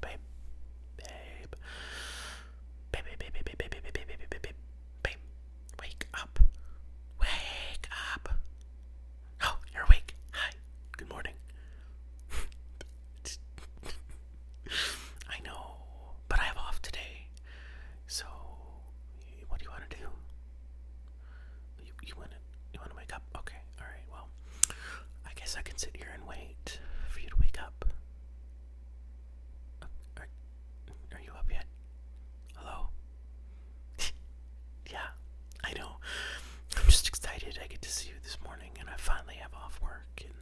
babe, babe, babe, babe, babe, babe, babe, babe, babe, babe, babe, wake up, wake up. Oh, you're awake. Hi, good morning. I know, but I have off today. So, what do you want to do? you want to you want to wake up? Okay, all right. Well, I guess I can sit here and wait for you to wake up. Uh, are, are you up yet? Hello? yeah, I know. I'm just excited I get to see you this morning and I finally have off work and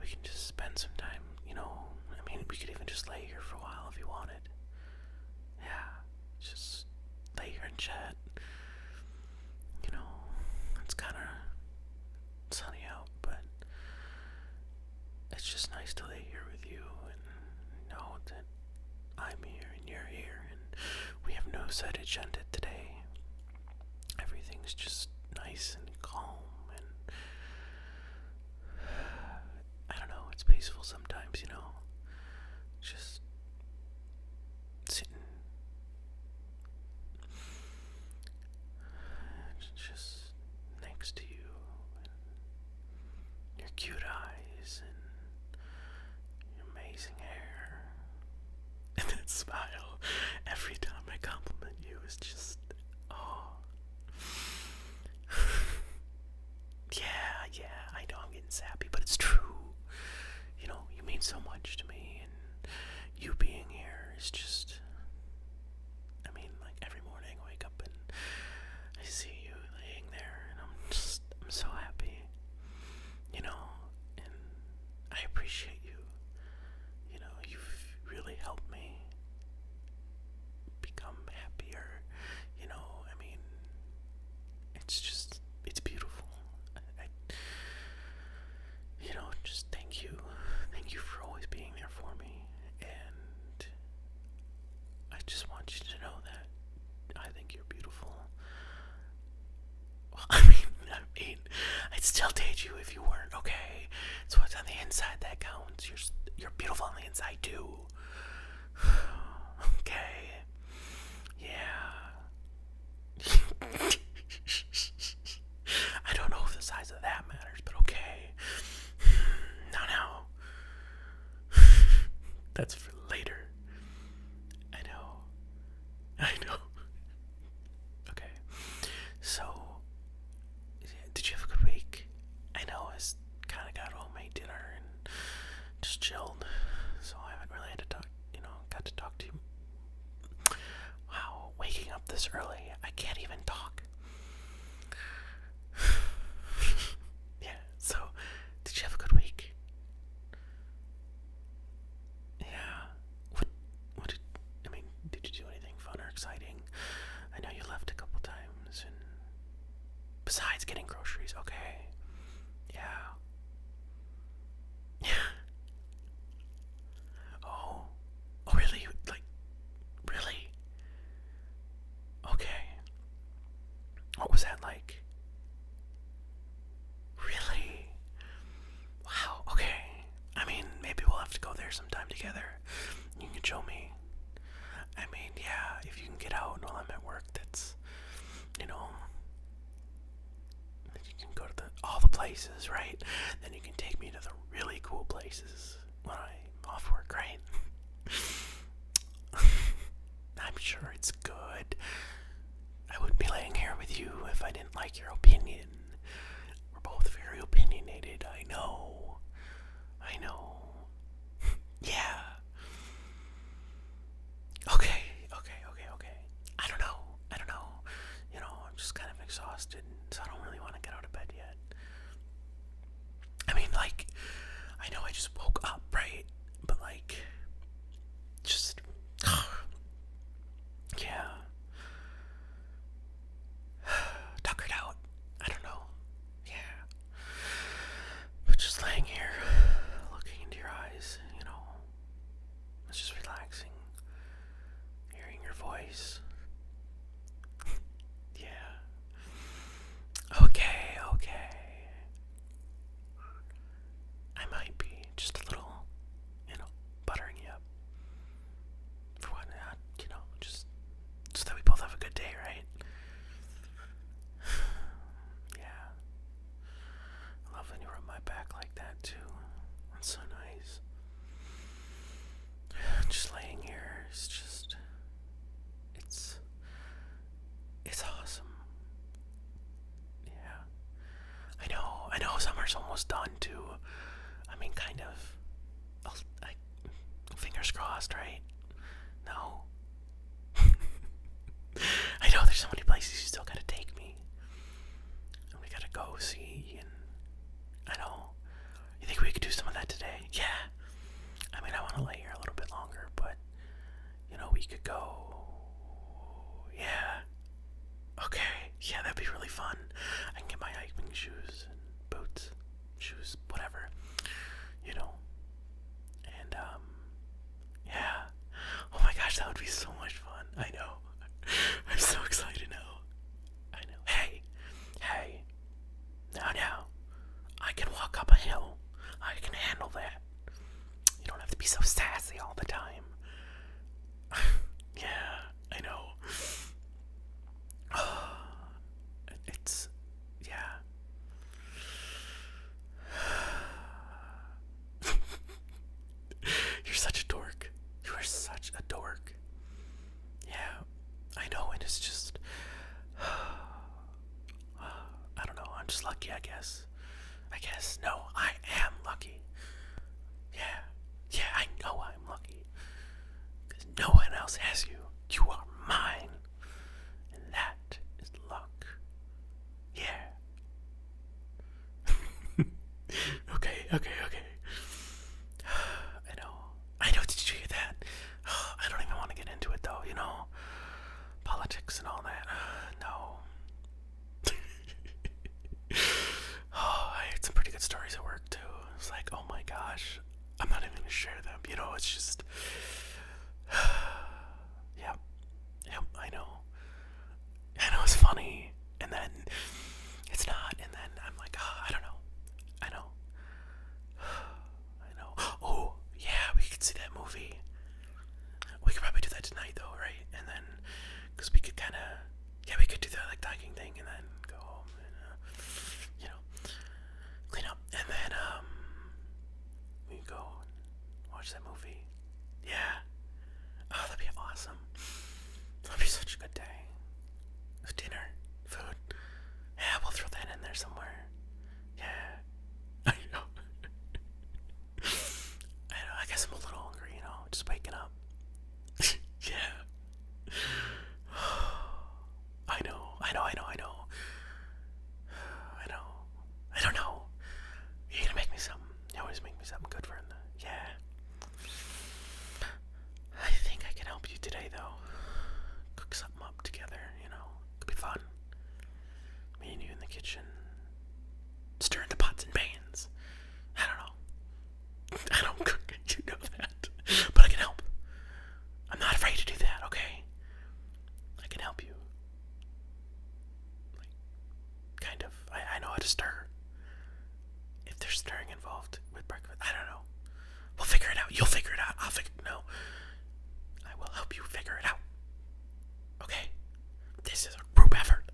we can just spend some time, you know. I mean, we could even just lay here for a while if you wanted. Yeah, just lay here and chat you know, it's kind of sunny out, but it's just nice to lay here with you and know that I'm here and you're here, and we have no set agenda today. Everything's just nice and calm, and I don't know, it's peaceful sometimes, you know? Just it's just next to you, your cute eyes, and your amazing hair, and that smile every time I compliment you is just oh. yeah, yeah, I know I'm getting sappy, but it's true you know, you mean so much to me, and you being here is just. I mean, like every morning I wake up and I see you laying there, and I'm just, I'm so happy, you know, and I appreciate you. You know, you've really helped me become happier, you know, I mean, it's just, it's beautiful. I, you know, just thank you, thank you for always being there for me, and I just want you to know that I think you're beautiful. I mean, I mean, I'd still date you if you weren't okay. It's what's on the inside that counts. You're you're beautiful on the inside too. okay, yeah. I don't know if the size of that matters, but okay. No, no. That's for later. I know. I know. Okay. So, did you have a good week? I know I kind of got home, made dinner, just chilled. So I haven't really had to talk, you know, got to talk to you. Wow, waking up this early, I can't even talk. yeah, so did you have a good week? Yeah. What what did I mean, did you do anything fun or exciting? I know you left a couple times Besides getting groceries, okay. Yeah. Yeah. oh. Oh really? Like really? Okay. What was that like? Really? Wow, okay. I mean, maybe we'll have to go there sometime together. You can show me. I mean, yeah, if you can get out while I'm at work, that's you know, you can go to all the places, right? Then you can take me to the really cool places when I'm off work, right? I'm sure it's good. I wouldn't be laying here with you if I didn't like your opinion. We're both very opinionated, I know. I know. yeah. Okay, okay, okay, okay. I don't know. I don't know. You know, I'm just kind of exhausted, so I don't really want to get out of bed yet. I mean, like, I know I just woke up, right? But, like, just. yeah. Tuckered out. I don't know yeah. But just laying here, looking into your eyes, you know, it's just relaxing. Hearing your voice. yeah. Okay, okay. I might be just a little, you know, buttering you up. For what you know, just so that we both have a good day, right? yeah. I love when you rub my back like that, too. That's so nice. Just laying here is just. It's. It's awesome. Yeah. I know, I know summer's almost done, too. I mean, kind of. Fingers crossed, right? No. I know there's so many places you still gotta take me. we gotta go see, I know. You think we could do some of that today? Yeah. I mean, I want to lay here a little bit longer, but you know, we could go. Yeah. Okay. Yeah, that'd be really fun. I get my hiking shoes and boots shoes, whatever, you know. And um, yeah. Oh my gosh, that would be so much fun. I know. I'm so excited now. I know. Hey, hey. Now, now, I can walk up a hill. I can handle that. You don't have to be so sassy all the time. yeah, I know. it's yeah. You're such a dork. You are such a dork. Yeah, I know, it's just. I don't know, I'm just lucky, I guess. I guess. No, I am lucky. Yeah. Yeah, I know I'm lucky. Because no one else has you. You are mine. And that is luck. Yeah. okay, okay, okay. I know. I know. Did you hear that? I don't even want to get into it though, you know? Politics and all that. No. oh, I heard some pretty good stories at work too. It's like, oh my gosh, I'm not even gonna share them. You know, it's just. yeah. Yep, I know. I know it's funny. And then it's not. And then I'm like, ah, I don't know. I know. I know. Oh, yeah, we could see that movie. We could probably do that tonight, though, right? And then, because we could kind of. Yeah, we could do that, like, docking thing, and then go home. Uh, you know clean up, and then um, we go watch that movie. Yeah, oh, that'd be awesome. That'd be such a good day. With dinner, food. Yeah, we'll throw that in there somewhere. Yeah, I know. I know. I guess I'm a little hungry, you know, just waking up. yeah. I know, I know, I know, I know. I know. I don't know. You're gonna make me something. You always make me something good for him. Yeah. I think I can help you today, though. Cook something up together, you know. Could be fun. Me and you in the kitchen. Stirring the pots and pans. I don't know. I don't cook you know that. But I can help. I'm not afraid to do that, okay? I can help you. kind of. I, I know how to stir. If there's stirring involved with breakfast, I don't know. We'll figure it out. You'll figure it out. I'll figure No. I will help you figure it out. Okay? This is a group effort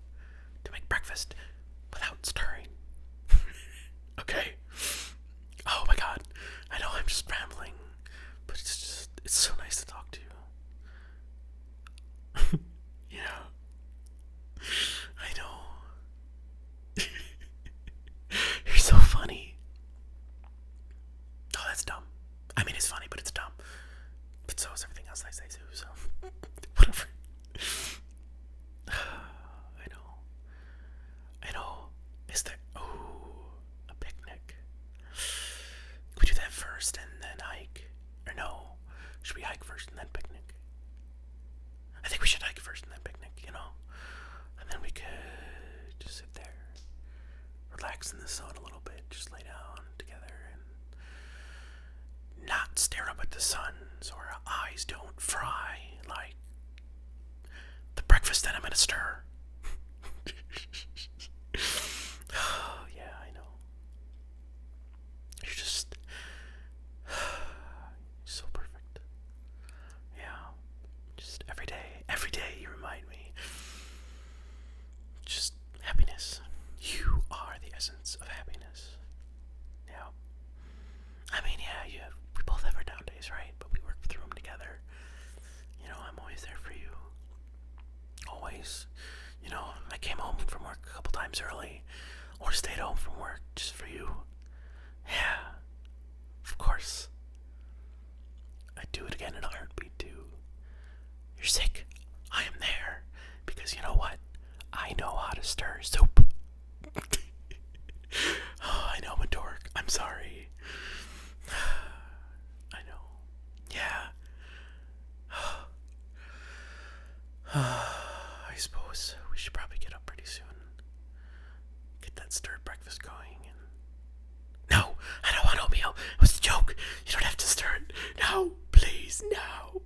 to make breakfast without stirring. Okay. Oh my god. I know I'm just rambling, but it's just it's so nice to talk to you. yeah. I know. You're so funny. Oh, that's dumb. I mean, it's funny, but it's dumb. But so is everything else I say, too, so. Whatever. I know. I know. Is there oh a picnic? we do that first and then hike? Or no? Should we hike first and then picnic? I think we should hike first and then picnic, you know? And then we could just sit there, relax in the sun a little bit, just lay down together not stare up at the sun so our eyes don't fry like the breakfast that I'm gonna stir. oh, yeah, I know. You're just so perfect. Yeah. Just every day, every day you remind me. Just happiness. You are the essence of happiness. Yeah. I mean, yeah, we both have our down days, right? But we work through them together. You know, I'm always there for you. Always. You know, I came home from work a couple times early, or stayed home from work just for you. Yeah, of course. I'd do it again and in a heartbeat, too. You're sick. I am there. Because you know what? I know how to stir soup. I know I'm dork. I'm sorry. I know. Yeah. I suppose we should probably get up pretty soon. Get that stir breakfast going No, I don't want oatmeal. It was a joke. You don't have to stir it. No, please, no.